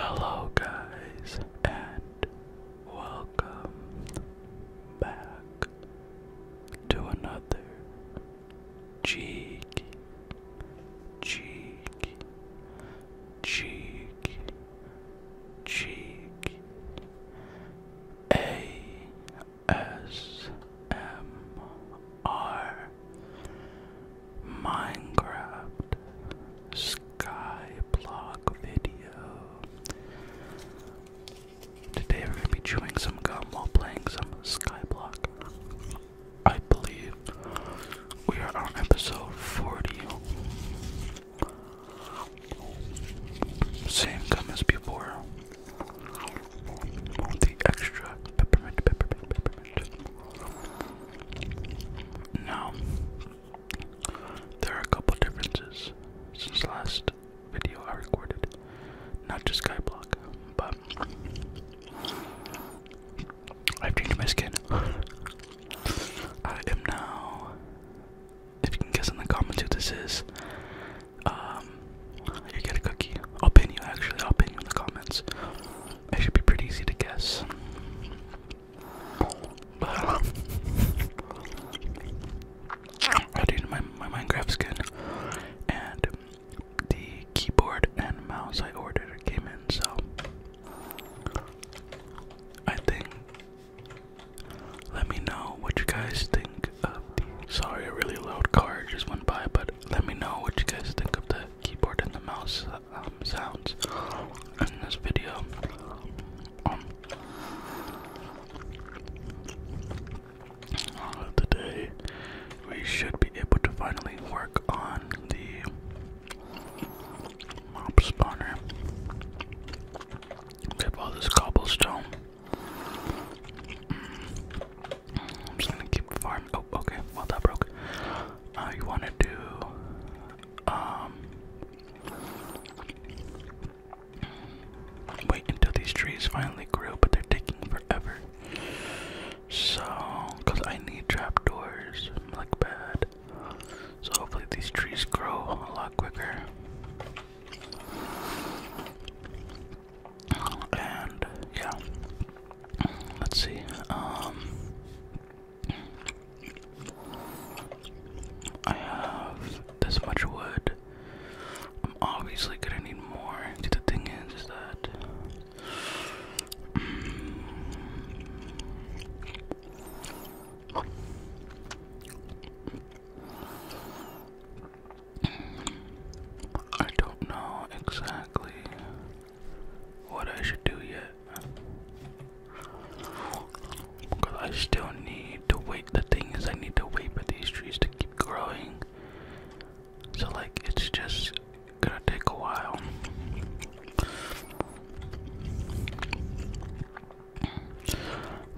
Hello, guys, and welcome back to another cheeky, cheeky, cheeky, cheeky ASMR Minecraft Skyblock video. Today we're going to be chewing some gum while playing some Skyblock. I believe we are on episode 40. Same gum as before. The extra peppermint, peppermint, peppermint. Now, there are a couple differences since last video I recorded. Not just Skyblock, but I've changed my skin. I am now. If you can guess in the comments who this is, um, you get a cookie. I'll pin you actually. I'll pin you in the comments. It should be pretty easy to guess. I did my my Minecraft skin and the keyboard and mouse I ordered came in, so I think let me know what you guys think of the sorry a really loud car just went by, but let me know what you guys think of the keyboard and the mouse um, sounds in this video. Um, today we should be able to finally work on the mob spawner. We all this cobblestone. I'm just gonna keep farming. Oh, okay. Well, that broke. Uh, you want to um, wait until these trees finally grow, but they're taking forever. So I need trapdoors like bad. So hopefully these trees grow a lot quicker. And yeah. Let's see. Um, I have this much wood. I'm obviously gonna need more. the thing is, is that. I don't know exactly what I should do yet. Because I still need to wait. The thing is, I need to wait for these trees to keep growing. So, like, it's just gonna take a while.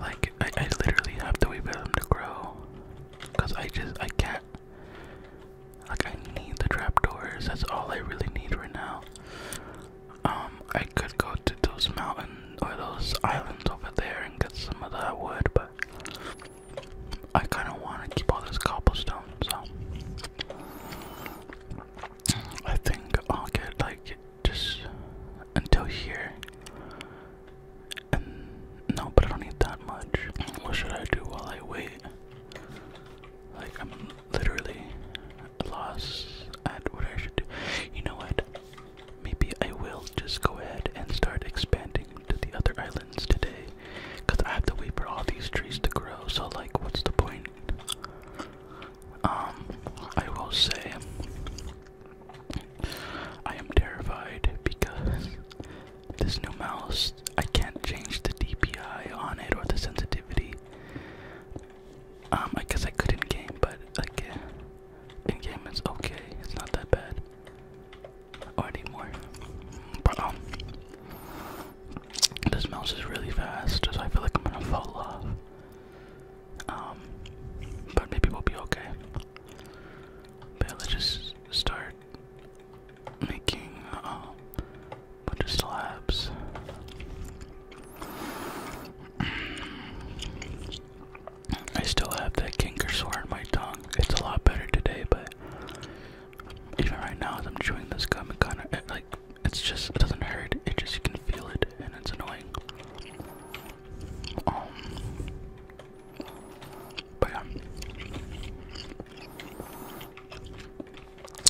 Like, I, I literally have to wait for them to grow. Because I just, I can't. Like I need the trapdoors. That's all I really need right now. Um, I could go to those mountains or those islands over there and get some of that wood, but I kind of want to keep all this cobblestone, so I think I'll get like just until here. And no, but I don't need that much. What should I do while I wait? Like I'm literally lost at what I should do. You know what? Maybe I will just go ahead and start expanding to the other islands today. Because I have to wait for all these trees to grow, so, like, what's the point? Um, I will say I am terrified because this new mouse, I can't change the DPI on it or the sensitivity. Um, I guess I could not game, but again, in game it's okay. It's not that bad. Or anymore. But um, this mouse is really fast, so I feel like I'm gonna fall off. Um, but maybe we'll be okay. But let's just start making um bunch of slabs. I still have that kinker sore in my tongue. It's a lot better today, but even right now, as I'm chewing this gum, it kind of like it's just it doesn't hurt. It just you can feel it, and it's annoying. Um, but yeah.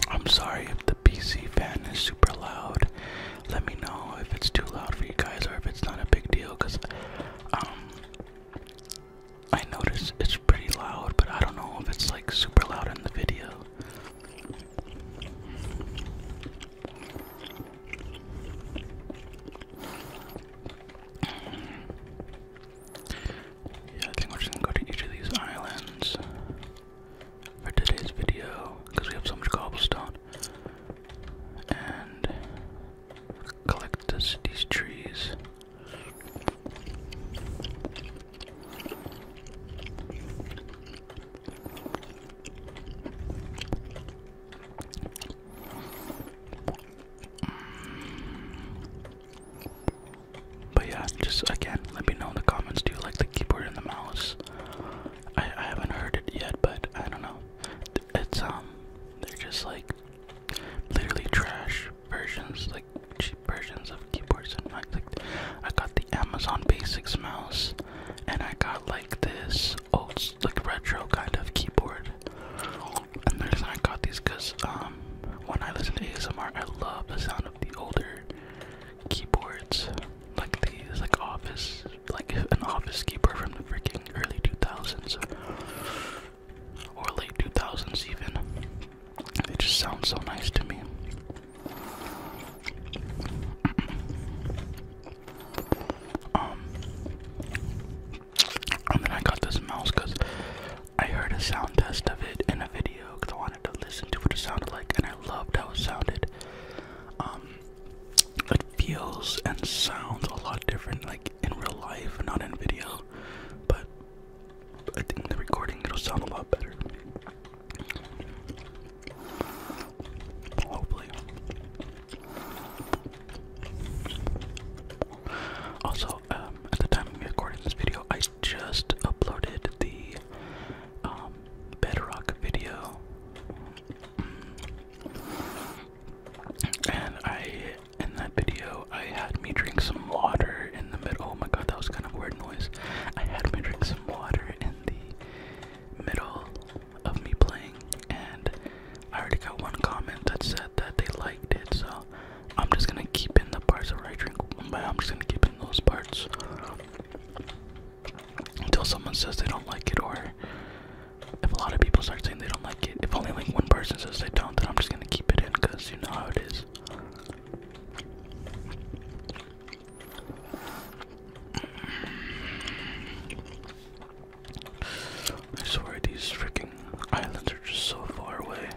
I'm sorry if the PC fan is super loud. Let me know if it's too loud for you guys or if it's not a big deal cuz um, I noticed it's pretty loud, but I don't know if it's like super loud in the video. Yeah, I think we're just gonna go to each of these islands for today's video because we have so much cobblestone and collect this, these trees. But yeah, just again, let me know in the comments. Do you like the keyboard and the mouse? I, I haven't heard it yet, but I don't know. It's um, they're just like literally trash versions, like cheap versions of keyboards and mice. I got the Amazon Basics mouse, and I got like this old, like retro kind of keyboard. And the reason I got these, cause um, when I listen to ASMR, I love the sound of the older keyboards, like these, like Office, like an Office keyboard from the freaking early 2000s or late 2000s even. They just sound so nice to me. Um, and then I got this mouse because I heard a sound test of it in a video because I wanted to listen to what it sounded like, and I loved how it sounded. Um, it feels and sounds a lot different, like in real life, not in video. But I think the recording it'll sound a lot better. Hopefully. Also, um, at the time of me recording this video, I just uploaded the um, bedrock video. And I, in that video, I had me drink some water in the middle. Oh my god, that was kind of weird noise. I had me drink some water in the middle of me playing, and I already got one comment that said that they liked it, so I'm just gonna keep in the parts where I drink, I'm just gonna keep in those parts until someone says they don't like it, or if a lot of people start saying they don't like it. If only like one person says they don't, then I'm just gonna keep it in because you know how it is. I swear these freaking islands are just so far away.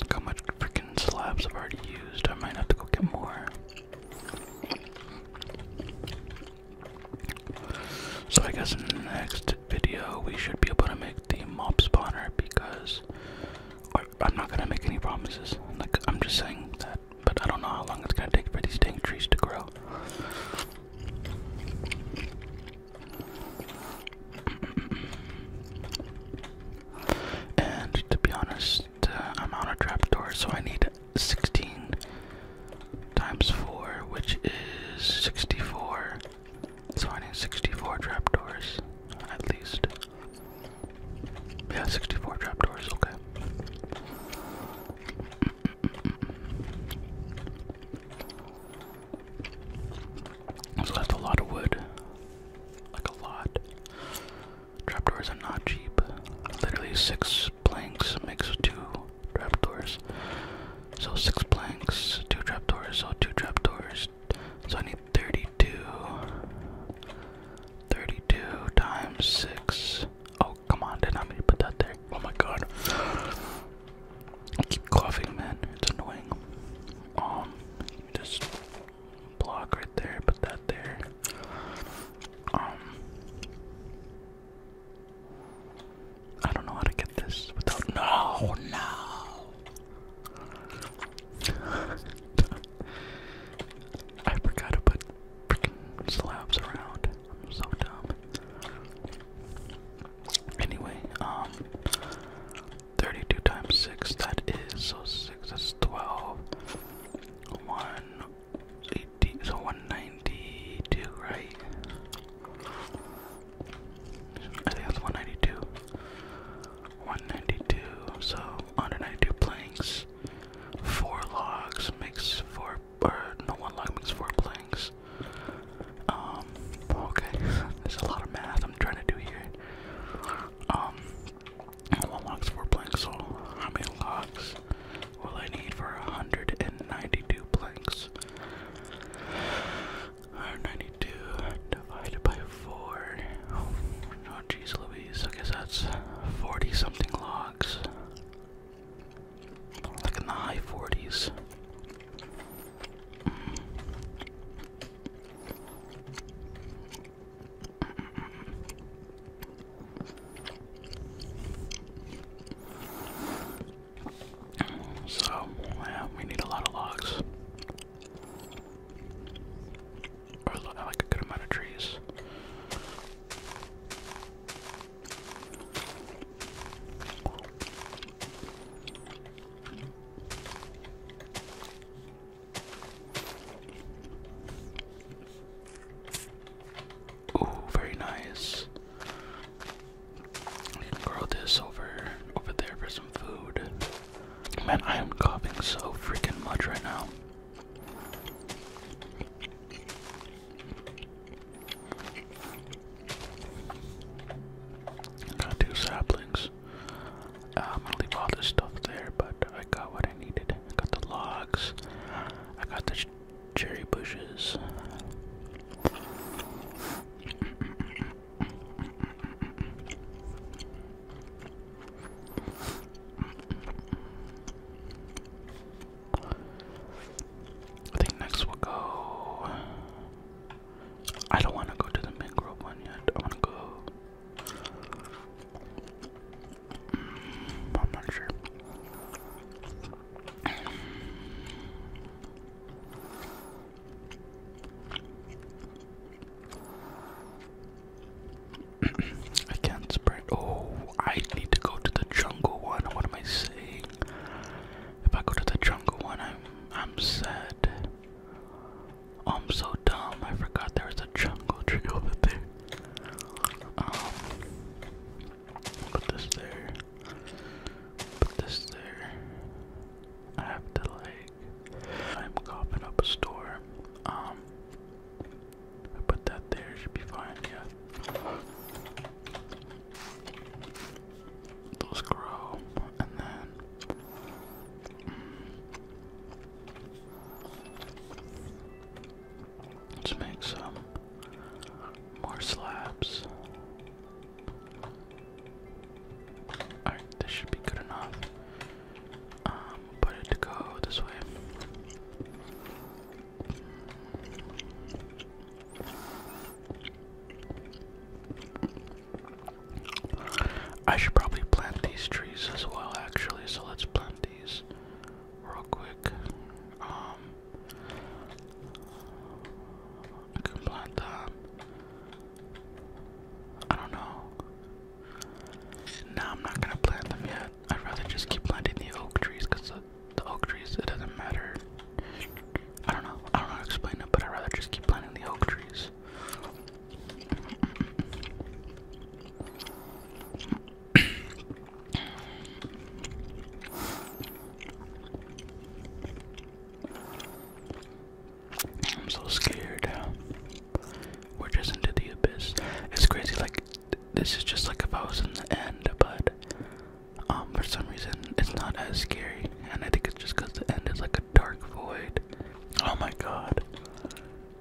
Look how much freaking slabs I've already used. I might have to go get more. So I guess in the next video we should be able to make the mob spawner because I'm not gonna make any promises. Like I'm just saying that, but I don't know how long it's gonna take for these dang trees to grow. And to be honest, uh, I'm on a trapdoor, so I need 16 times 4, which is 64. So I need 64 trapdoors, at least. Yeah, 64 trapdoors, okay. It's left a lot of wood. Like a lot. Trapdoors are not cheap. Literally six planks makes two trapdoors. So six planks, two trapdoors, so two trapdoors. So I need 32. 32 times 6. Oh, come on, did not mean to put that there. Oh my god. I keep coughing, man. It's annoying. Um, just block right there, put that there. Um, I don't know how to get this without. No, no. I forgot to put freaking slabs around. I'm so dumb. Anyway, um, 32 times 6, that is, so 6, that's 12. 180, so 192, right? I think that's 192. 192, so 192 planks. 4 logs makes 4, or no, 1 log makes 4 planks. Um, okay, there's a lot of math I'm trying to do here. Um, one log's for planks, so how many logs will I need for 192 planks? 192 divided by 4. Oh, oh Louise, I guess that's 40 something logs. Like in the high 40s. So, yeah, we need a lot of logs. Or like a good amount of trees. Ooh, very nice. We can grow this over over there for some food. Man, I am coughing so freaking much right now. Gotta saplings. I'm gonna leave all this stuff there, but I got what I needed. I got the logs, I got the cherry bushes. I think next we'll go. I don't want to go to the mangrove one yet. I want to go. Mm, I'm not sure. I can't spread. Oh, I need to go to the jungle one. What am I saying? If I go to the jungle one, I'm I'm sad. I'm so dumb. I forgot there was a jungle tree over there. Um, put this there. Put this there. I have to like. I'm coughing up a storm. Um, put that there. Should be fine. Yeah those grow, and then. Mm, let's make some more slabs. Alright, this should be good enough. Um, put it to go this way. I should probably plant these trees as well, actually, so let's plant these real quick. Um, I can plant that. I don't know. No, I'm not gonna plant them yet. I'd rather just keep planting the oak trees because the, the oak trees, it doesn't matter. I don't know. I don't know how to explain it, but I'd rather just keep planting the oak trees. I'm so scared. We're just into the abyss. It's crazy, like, this is just like if I was in the end, but um, for some reason it's not as scary, and I think it's just because the end is like a dark void Oh my god.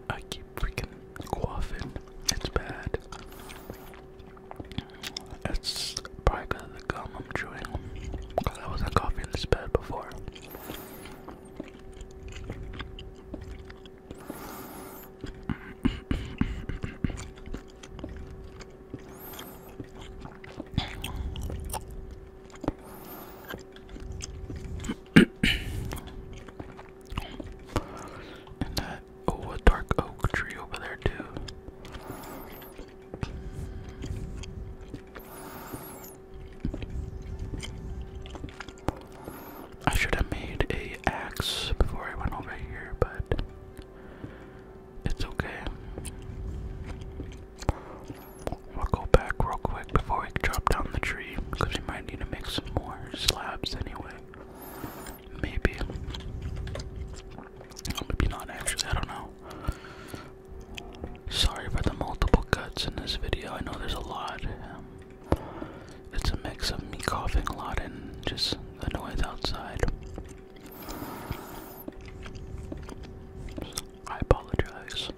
I keep freaking coughing. It's bad. It's probably because of the gum I'm chewing. Because I wasn't coughing this bad before oh a dark oak tree over there too. I should have made a axe before I went over here, but it's okay. We'll go back real quick before we drop down the tree, because we might need to make some more slabs anyway. Maybe. Or maybe not actually, I don't know. Sorry for the multiple cuts in this video, I know there's a lot. it's a mix of me coughing a lot and just the noise outside. I apologize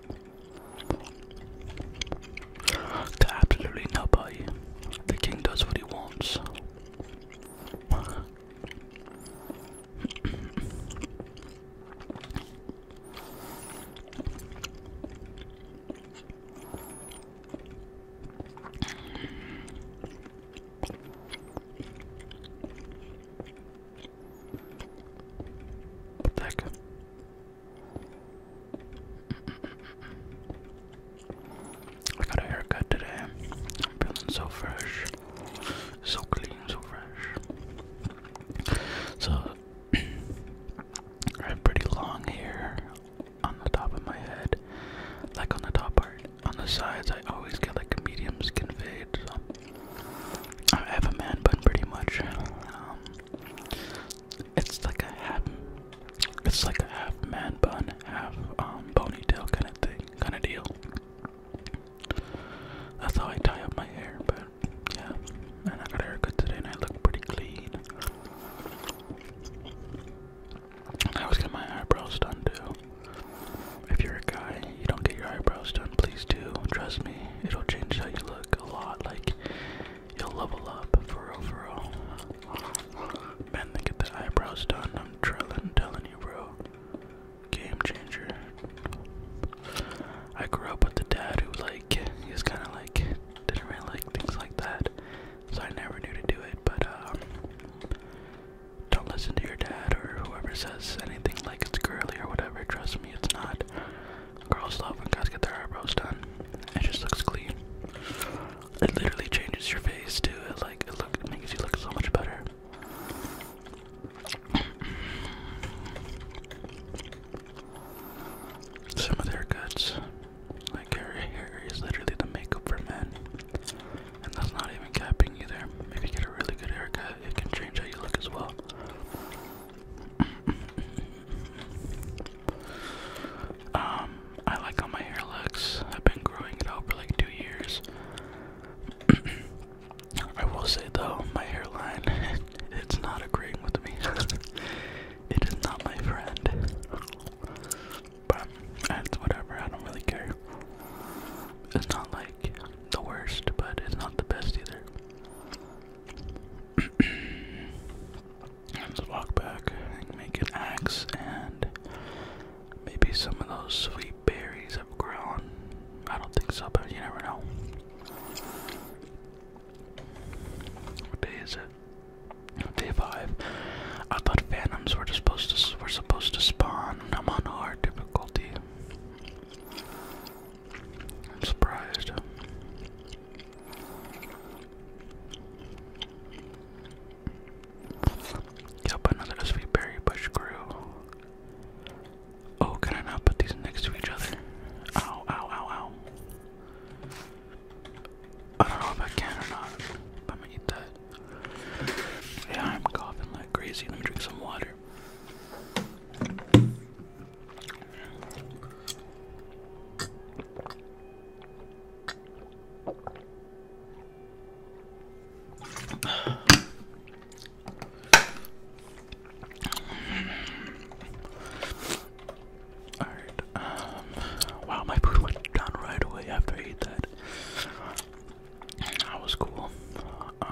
to absolutely nobody. The king does what he wants. What I got a haircut today. I'm feeling so fresh, so clean, so fresh. So I have pretty long hair on the top of my head, like on the top part. On the sides, I always get like a medium skin fade. I have a man bun pretty much. Um, it's like a half, it's like a half man bun, half um, ponytail kind of thing, kind of deal. That's how I tie up my hair, but yeah. And I got hair cut today, and I look pretty clean. I was getting my eyebrows done too if you're a guy, you don't get your eyebrows done, please do. Trust me, it'll change how you look a lot. Like, you'll level up, for real, for real. Men that get their eyebrows done, I'm trillin', telling you, bro. Game changer. I grew up with a dad who, like, he was kind of like, didn't really like things like that. So I never knew to do it, but, um, don't listen to your dad or whoever says anything like it's girly or whatever, trust it's not. Girls love when guys get their eyebrows done. It just looks clean. It literally changes your face too. It like it look makes you look so much better. Some of their guts, like her hair, is literally the makeup for men, and that's not even capping either. Maybe get a really good haircut it can change how you look as well. um, I like how my hair looks. I've been growing it out for like two years. I will say though, my hairline, it's not agreeing with me. it is not my friend. But it's whatever, I don't really care. It's not like the worst, but it's not the best either. Let's walk back make an axe, and maybe some of those sweet berries have grown. I don't think so, but you never know. What day is it? Day five. I thought phantoms were supposed to were supposed to spawn. I'm on hard difficulty. I'm surprised. Yep, another sweet berry bush grew. Oh, can I not put these next to each other? Ow, ow, ow, ow. I don't know if I can or not. I'm gonna eat that. Yeah, I'm coughing like crazy. Let me drink some water. All right. Um, wow, my food went down right away after I ate that. That was cool. Uh,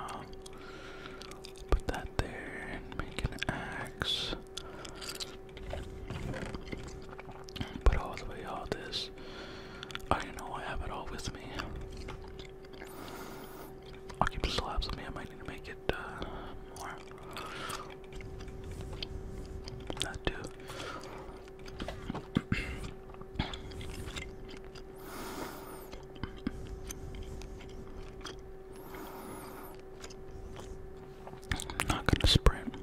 Put that there and make an axe. Put all the way all this. I know I have it all with me. I'll keep the slabs with me. I might need to make it uh, more. That too. I'm not gonna sprint.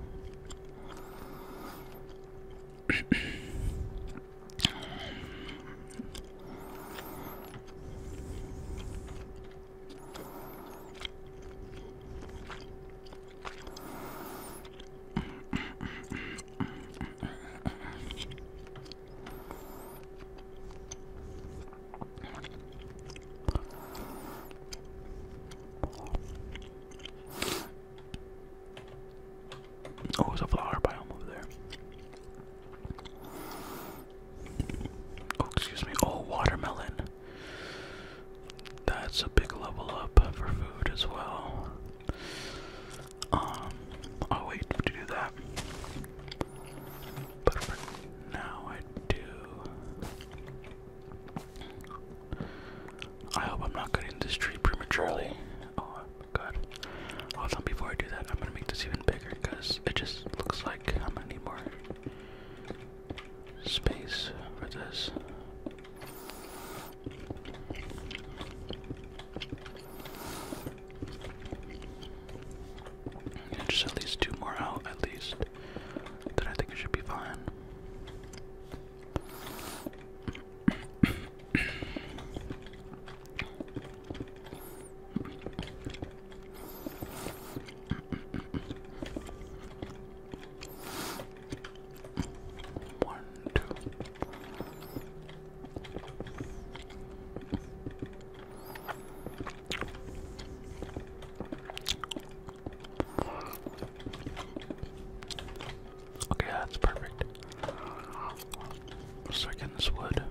Oh, there's a flower biome over there. Oh, excuse me. Oh, watermelon. That's a big level up for food as well. Um, I'll wait to do that. But for now, I do. I hope I'm not cutting this tree prematurely. Oh god. Hold before I do that, I'm gonna make this even bigger because it just looks like I'm gonna need more space for this. Yeah, just at least two more out, at least. Then I think it should be fine. One, two, Okay, that's perfect. let this wood.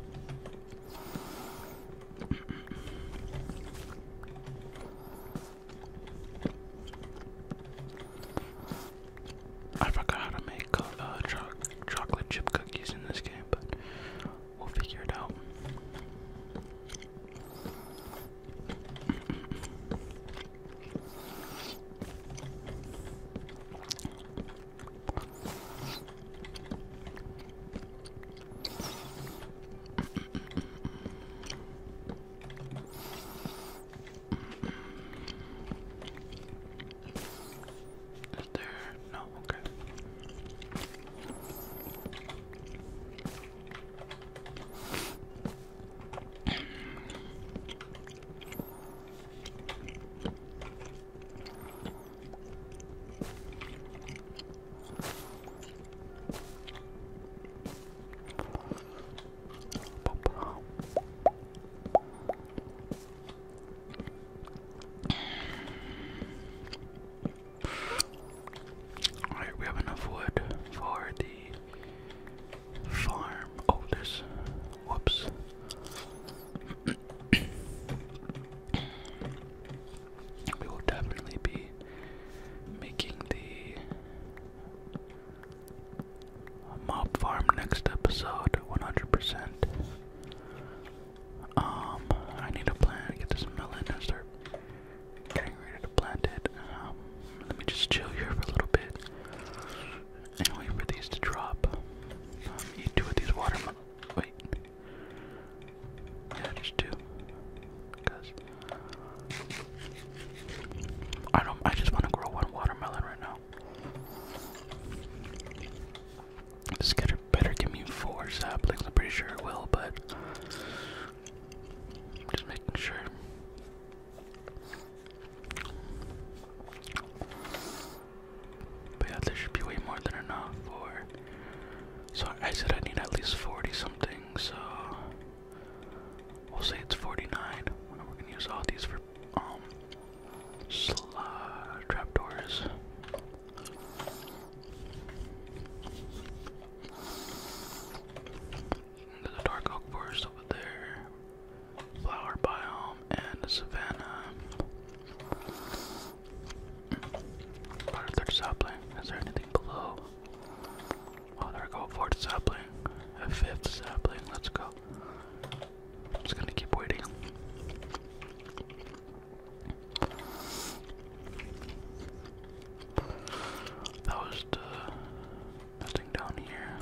I forgot how to make uh, chocolate chip cookies in this game, but we'll figure it out. Is there? No, okay. Alright, we have enough wood for the farm. Oh, there's. Whoops. we will definitely be making the mob farm next episode 100%. Um, I need to plant, get this melon and start getting ready to plant it. Um, let me just chill here for a little bit and wait for these to drop. Um, eat two of these watermelon. Wait. Yeah, just two. Because I don't. I just want to grow one watermelon right now. This getter better give me four saplings. I'm pretty sure it will, but just making sure. But yeah, there should be way more than enough for. So I said I need at least 40 something, so we'll say it's 49. We're gonna use all these for um uh, trapdoors. There's a dark oak forest over there, flower biome, and a savanna. Part of third sapling. Is there anything below? Oh, there we go. Fourth sapling. A fifth sapling. Let's go. I'm just gonna keep waiting. That was the nothing down here.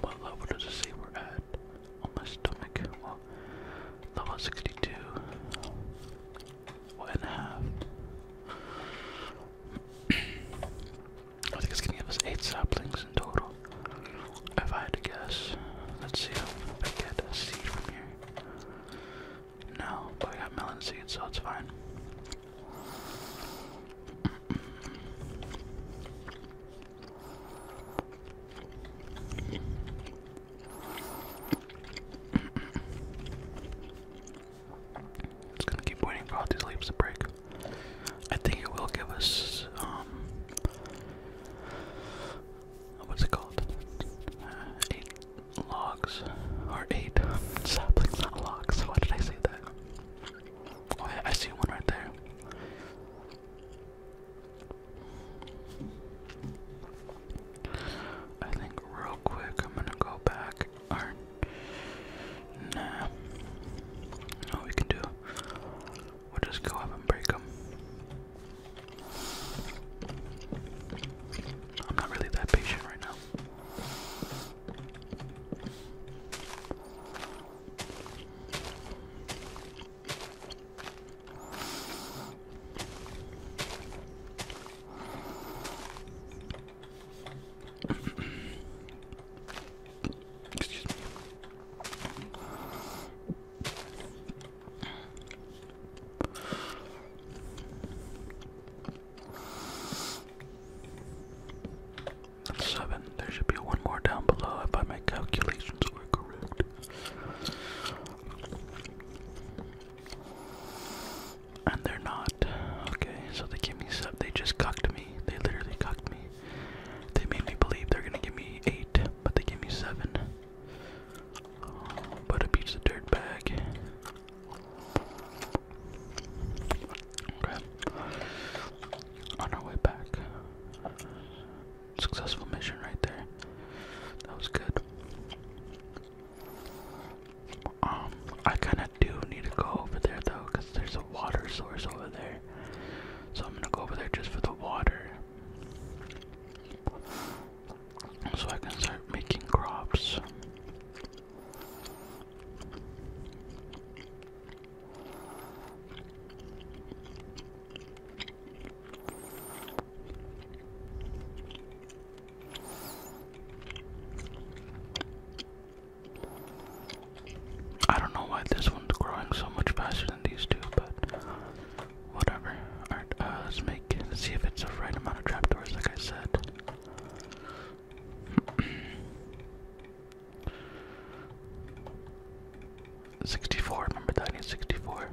What level does it say we're at? On my stomach. level 62. I think it's gonna give us eight saplings in total. If I had to guess, let's see if I get a seed from here. No, but we got melon seeds, so it's fine. It's gonna keep waiting for all these leaves to break. I think it will give us, um, what's it called? Uh, eight logs, or eight saplings, not logs. Why did I say that? Oh, I see one right there. I think real quick I'm gonna go back. Nah. No, we can do. We'll just go up and break them. I'm not really that patient right now. Excuse me. seven. There should be one more down below if I my calculations were correct. And they're not. Okay, so they gave me seven. They just cucked me. They literally cucked me. They made me believe they're gonna give me eight, but they gave me seven. But a piece of dirt bag. Okay. On our way back. Successful mission right there. That was good. Um, I kind of do need to go over there though, there's a water source over there. So I'm gonna go over there just for the water. So I can start making crops. I don't know why this one's growing so much faster than these two, but whatever. Alright, uh, let's make let see if it's the right amount of trapdoors, like I said. 64, remember that 64.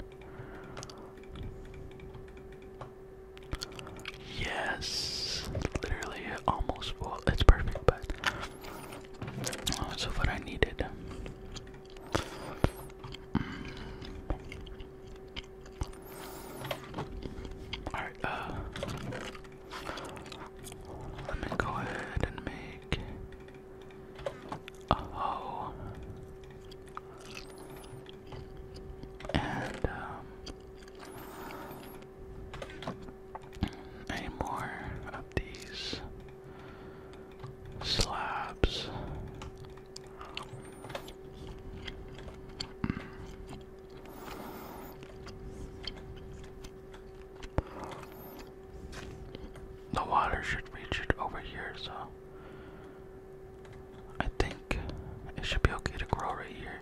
Yes, literally almost full. It's perfect, but that's what I needed. Mm. Alright, uh, let me go ahead and make a hoe. And, um, any more of these slabs. The water should reach it over here, so I think it should be okay to grow right here.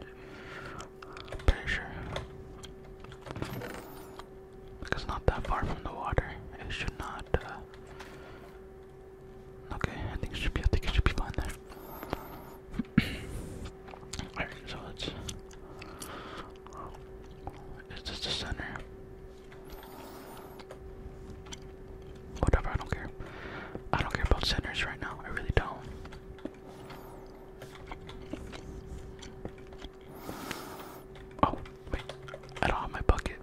Pretty sure. Because not that far from the water. It should not. Uh, okay, I think it should be. I think it should be fine there. Alright, so let's. Is this the center? Whatever, I don't care. I don't care about centers right now. I really don't. Oh, wait. I don't have my bucket.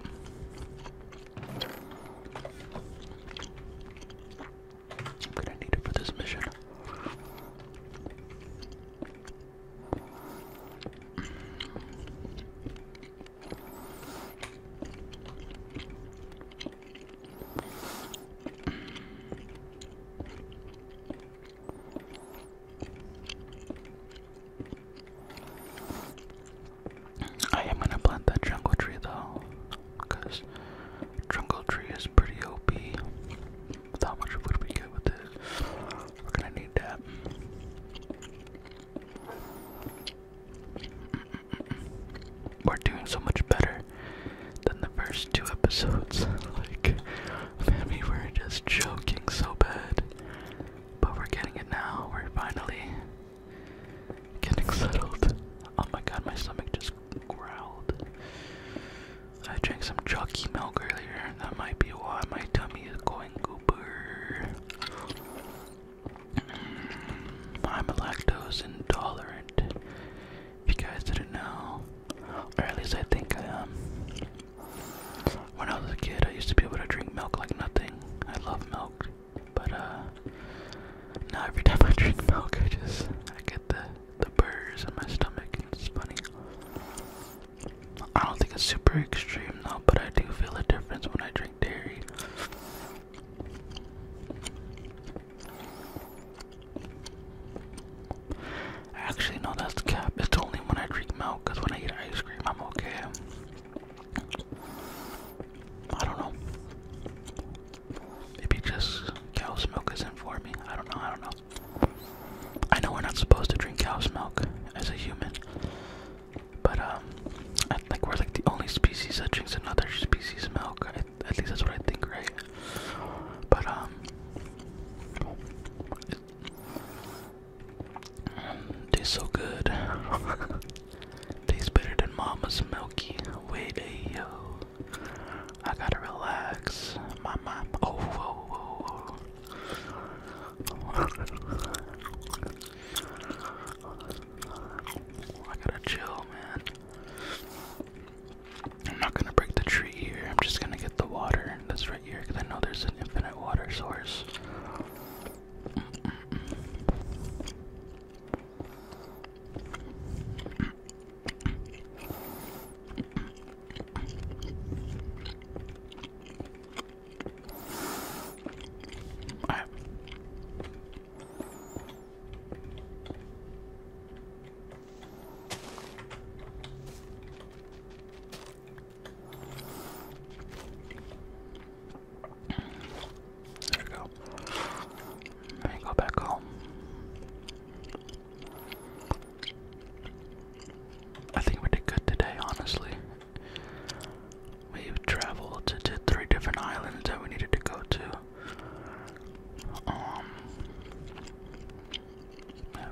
I'm gonna need it for this mission. I am gonna plant that jungle tree though, because jungle tree is pretty OP. With how much wood we get with it, we're gonna need that. We're doing so much better than the first two episodes. like, we were just joking so bad. But we're getting it now. We're finally getting settled. Oh my god, my stomach just growled. I drank some chalky milk earlier. That might be why my tummy is going goober. Mm, I'm lactose intolerant. If you guys didn't know, or at least I think I am. When I was a kid, I used to be able to drink milk like nothing. I love milk, but uh, now every time I drink milk, I just I get the the burrs in my stomach. It's funny. I don't think it's super extreme though, but I do feel a difference when I drink dairy. Actually, no, that's cap. It's only when I drink milk, because when I eat ice cream, I'm okay. I don't know. Maybe just cow's milk isn't for me. I don't know, I don't know. I know we're not supposed to drink cow's milk as a human, but um, I think we're like the only species that drinks another species' milk, at least that's what I think, right? But um, tastes so good. tastes better than Mama's Milky Way. Yo, I gotta relax. My mom. Oh, whoa, whoa, whoa. I gotta chill, man. I'm not gonna break the tree here. I'm just gonna get the water that's right here because I know there's an infinite water source. There we go. There you go back home. I think we did good today, honestly. we traveled to, three different islands that we needed to go to. Um,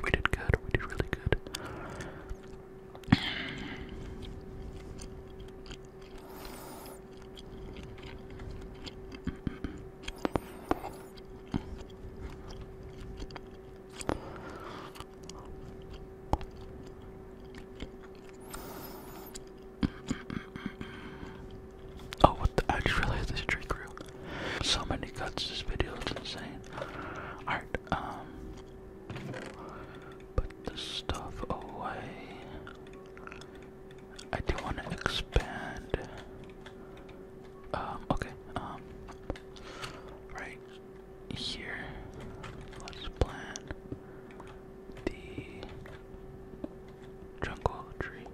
we did good, we did really good. Oh, what the? I just realized this tree grew. So many cuts. This video is insane. Alright, um. Put this stuff away. I do want to expand. Um, okay, um. Right here. Let's plant the jungle tree.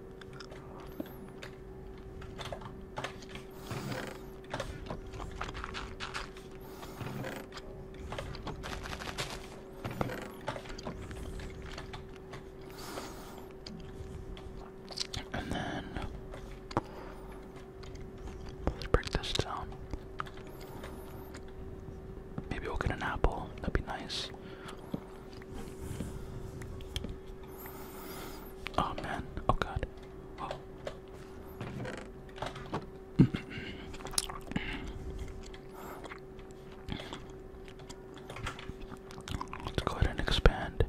And then let's break this down. Maybe we'll get an apple. That'd be nice. Oh man, oh god. Let's go ahead and expand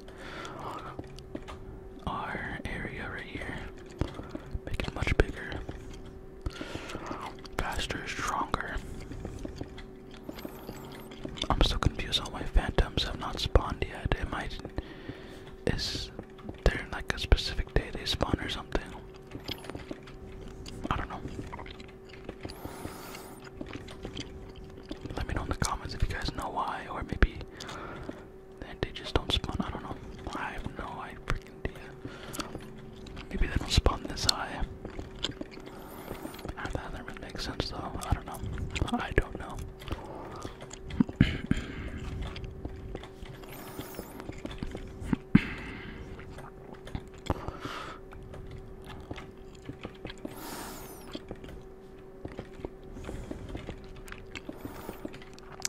our area right here. Make it much bigger, faster, stronger. I'm still confused. All my phantoms have not spawned yet. Am I? Is there like a specific day they spawn or something? I don't know. Let me know in the comments if you guys know why, or maybe they just don't spawn. I don't know. I have no idea. Maybe they don't spawn this high. I ah, thought sense though. I don't know. I don't know.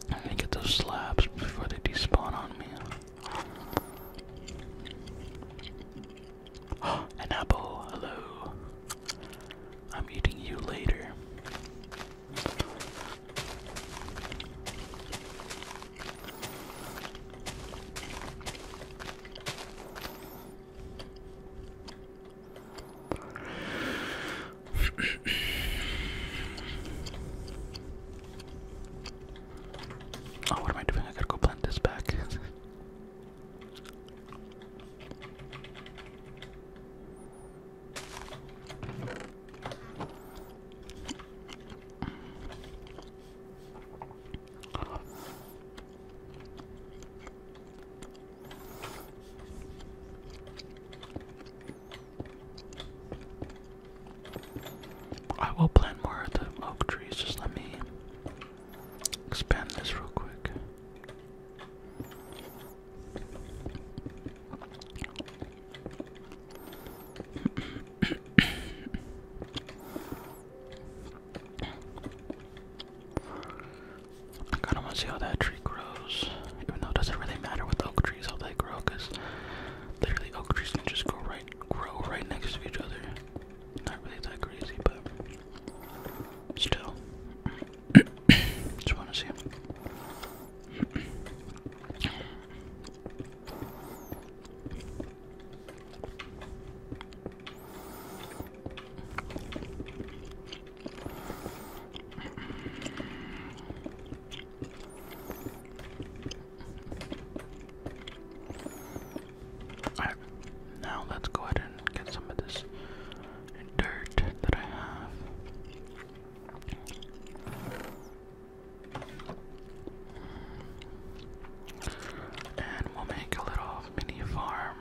I gotta get those slabs before they despawn on me. An apple, hello. I'm eating you later. oh, what am I doing? I gotta go plant this back. I will plant more of the oak trees, just let me expand this real quick. I kind of want to see how that tree grows, even though it doesn't really matter with oak trees how they grow, literally oak trees can just grow right, grow right next to each other. Not really that crazy, but still. Just want to see him now let's go ahead and get some of this dirt that I have. And we'll make a little mini farm.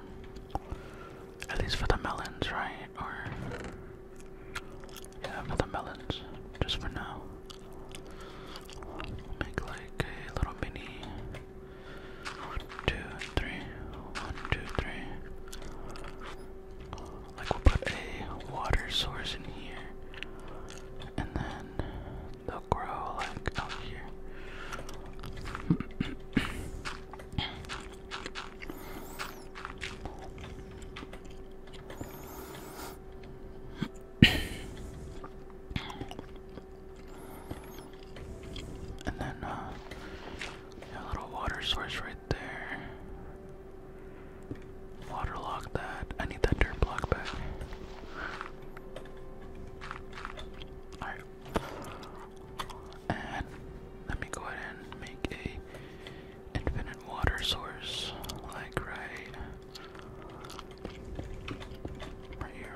At least for the melons, right? Or. Yeah, for the melons. Just for now. Make like a little mini one, two, three. One, two, three. Like we'll put a water source in here. And then they'll grow like out here. And then uh, a little water source right there. Water Waterlog that. I need that dirt block back. Alright. And let me go ahead and make a infinite water source. Like right right here.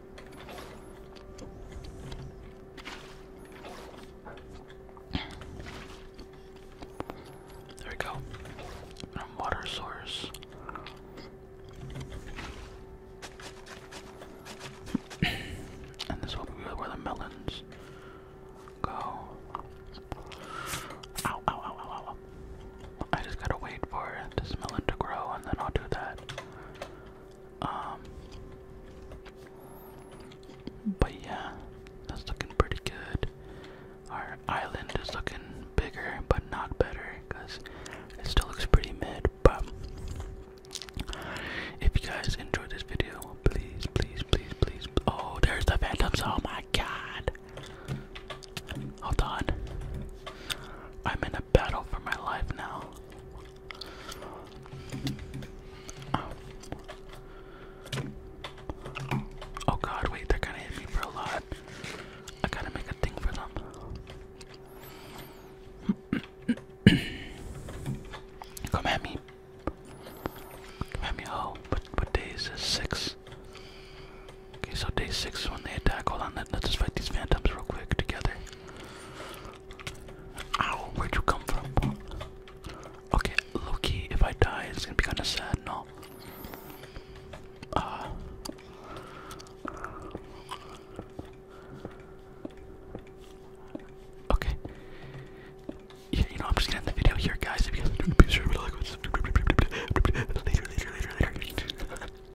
There we go. Um, water source. and this will be where the melons go. Ow, ow, ow, ow, I just gotta wait for this melon to grow and then I'll do that. Um, but yeah, that's looking pretty good. Our island is looking bigger, but not better, because it still looks pretty mid. But if you guys enjoyed this video, please, please, please, please. Oh, there's the phantoms. Oh my god. Hold on. I'm in a battle for my life now. Oh. god, wait, they're gonna hit me for a lot. I gotta make a thing for them. Come at me. Come at me, oh, but what day is Six. Okay, so day six is when they attack. Hold on, let, let's just fight these phantoms real quick together. Ow, where'd you come from? Okay, Loki, if I die, it's gonna be kinda sad, no? Uh. Okay. you know, I'm just gonna end the video here, guys. If